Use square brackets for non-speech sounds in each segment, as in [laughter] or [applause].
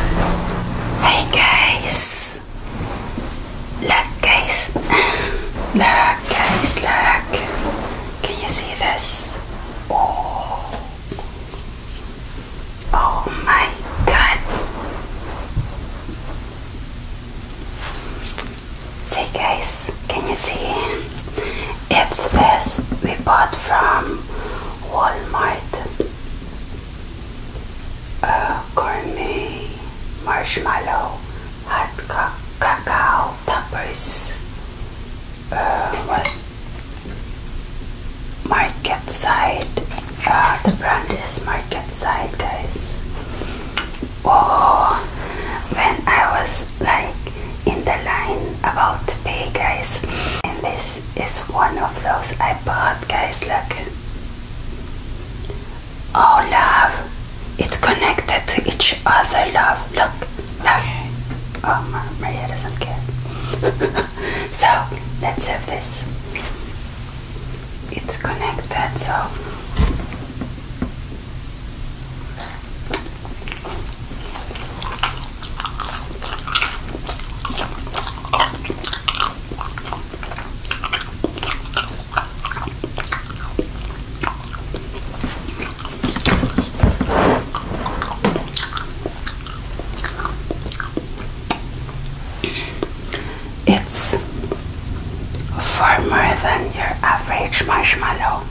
Hey guys, look guys, look guys, look, can you see this? Oh, oh my god, see guys, can you see? It's this we bought from Walmart uh, marshmallow hot ca cacao toppers uh, what market side uh, the brand is market side guys oh when I was like in the line about to pay guys In this is one of those I bought, guys. Look. Oh, love. It's connected to each other, love. Look, love. Okay. Oh, Maria doesn't care. [laughs] so, let's have this. It's connected, so. It's far more than your average marshmallow.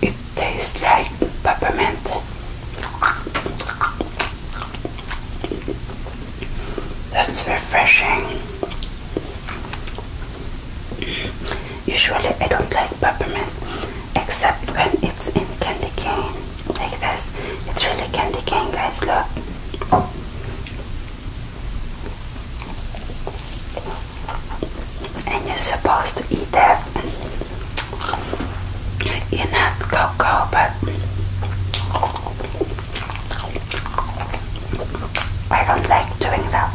It tastes like peppermint. That's refreshing. Usually, I don't like peppermint except when it's in candy cane like this it's really candy cane guys look and you're supposed to eat that you not cocoa but I don't like doing that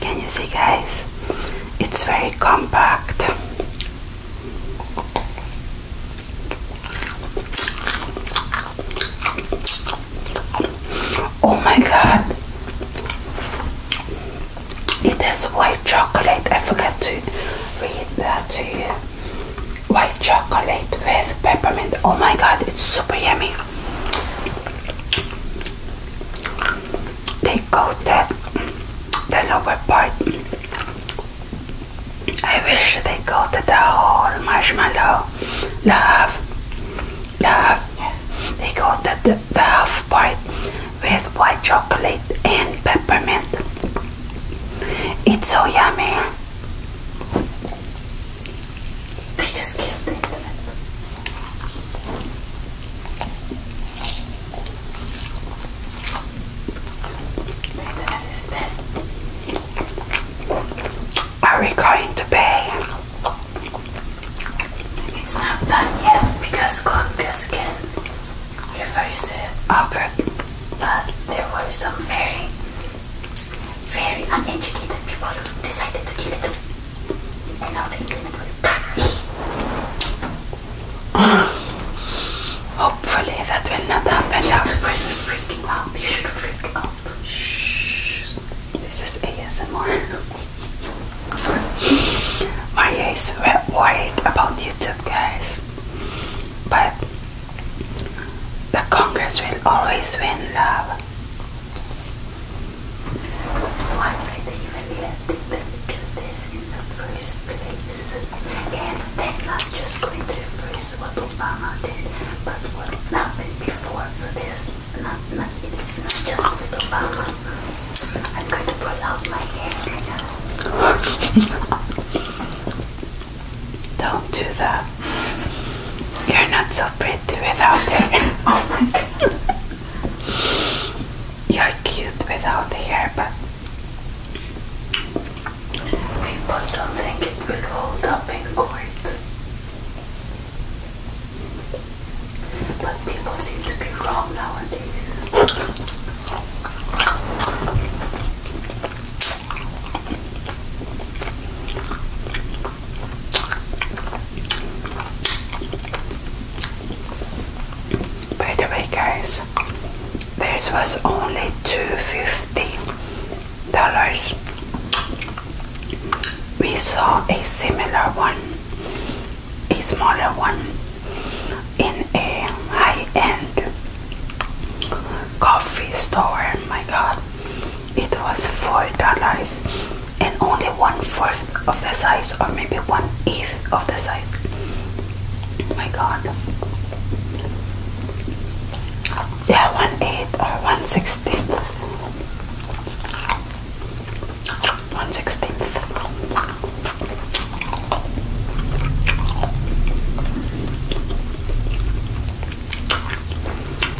Can you see, guys? It's very compact. Oh, my God, it is white chocolate. I forgot to read that to you. White chocolate with peppermint. Oh my god, it's super yummy. They coated the the lower part. I wish they coated the whole marshmallow. Love, love. yes. They coated the, the half part with white chocolate and peppermint. It's so yummy. They just killed the internet. The internet Are we going to pay? It's not done yet because Congress can reverse it. Okay. But there were some very, very uneducated people who decided to kill it. to now the internet [sighs] Hopefully that will not happen. Yeah, the person freaking out. You should freak out. Shh. This is ASMR. [laughs] My eyes were worried about YouTube, guys. But the Congress will always win, love. Why would they even let people do this in the first place? And they're not just going to reverse what Obama did, but what happened before. So there's not, not, just Obama. I'm going to pull out my hair now. [laughs] Don't do that. You're not so pretty without it. [laughs] oh my god. You're cute without the hair, but people don't think it will hold up in court. But people seem to be wrong nowadays. By the way, guys, this was only $250. We saw a similar one, a smaller one in a high-end coffee store. My God, it was four dollars and only one fourth of the size, or maybe one eighth of the size. My God, yeah, one eighth or one sixteenth one sixteenth.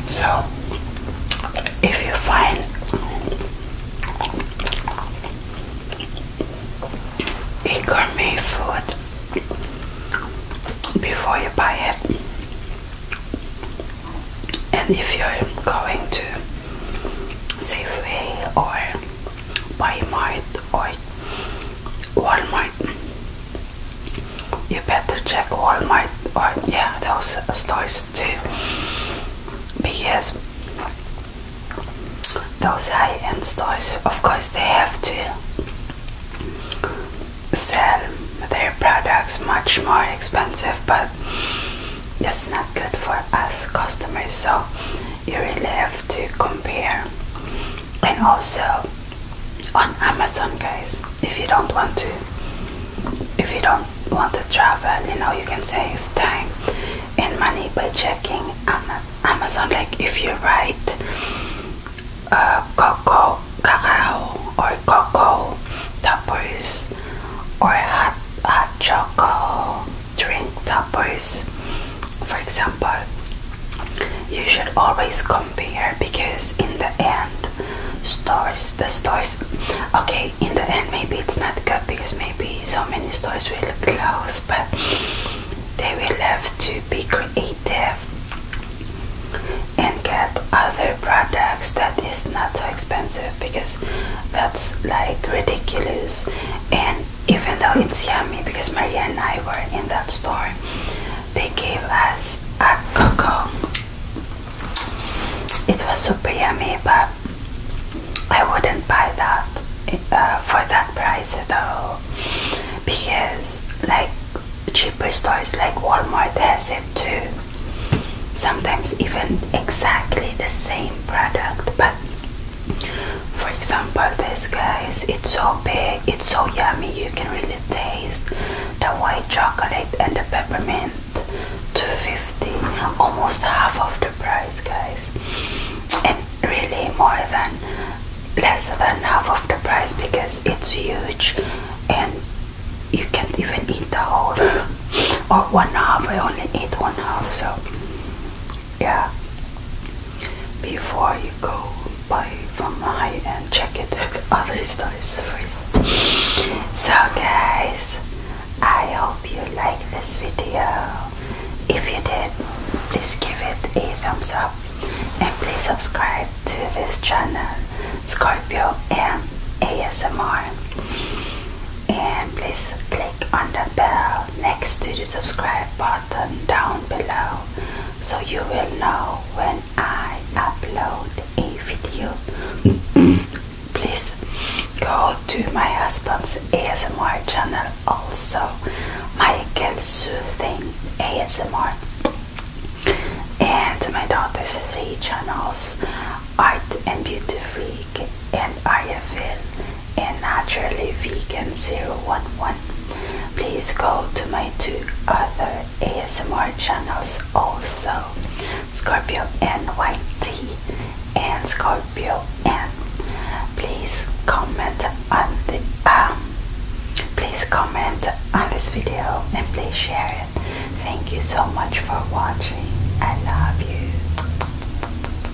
So if you find a gourmet food before you buy it, and if you're going to Safeway or by Mart or Walmart. You better check Walmart or yeah, those stores too, because those high-end stores, of course, they have to sell their products much more expensive, but that's not good for us customers. So you really have to compare and also on Amazon guys if you don't want to if you don't want to travel you know you can save time and money by checking Amazon like if you write uh, cocoa cacao or cocoa toppers or hot, hot chocolate drink toppers. For example, you should always compare because in the end, stores the stores. Okay, in the end, maybe it's not good because maybe so many stores will close, but they will have to be creative and get other products that is not so expensive because that's like ridiculous and even though it's yummy because Maria and I were in that store, they gave us a cocoa. It was super yummy, but I wouldn't buy that uh, for that price though, because like cheaper stores like Walmart has it too. Sometimes even exactly the same product, but for example, this guys, it's so big, it's so yummy, you can really taste the white chocolate and the peppermint. 250 almost half of the price guys and really more than less than half of the price because it's huge and you can't even eat the whole [laughs] or one half I only eat one half so yeah before you go buy from high and check it with other stores first so guys I hope you like this video if you did please give it a thumbs up and please subscribe to this channel Scorpio and ASMR and please click on the bell next to the subscribe button down below so you will know when I upload a video. [coughs] please go to my husband's ASMR channel also, Michael Soothing ASMR, and my daughter's three channels, Art and Beauty Free Week and IFL and Naturally Vegan 011. Please go to my two other ASMR channels also, Scorpio NYT and Scorpio N. Please comment on the um, please comment on this video and please share it. Thank you so much for watching. I love you.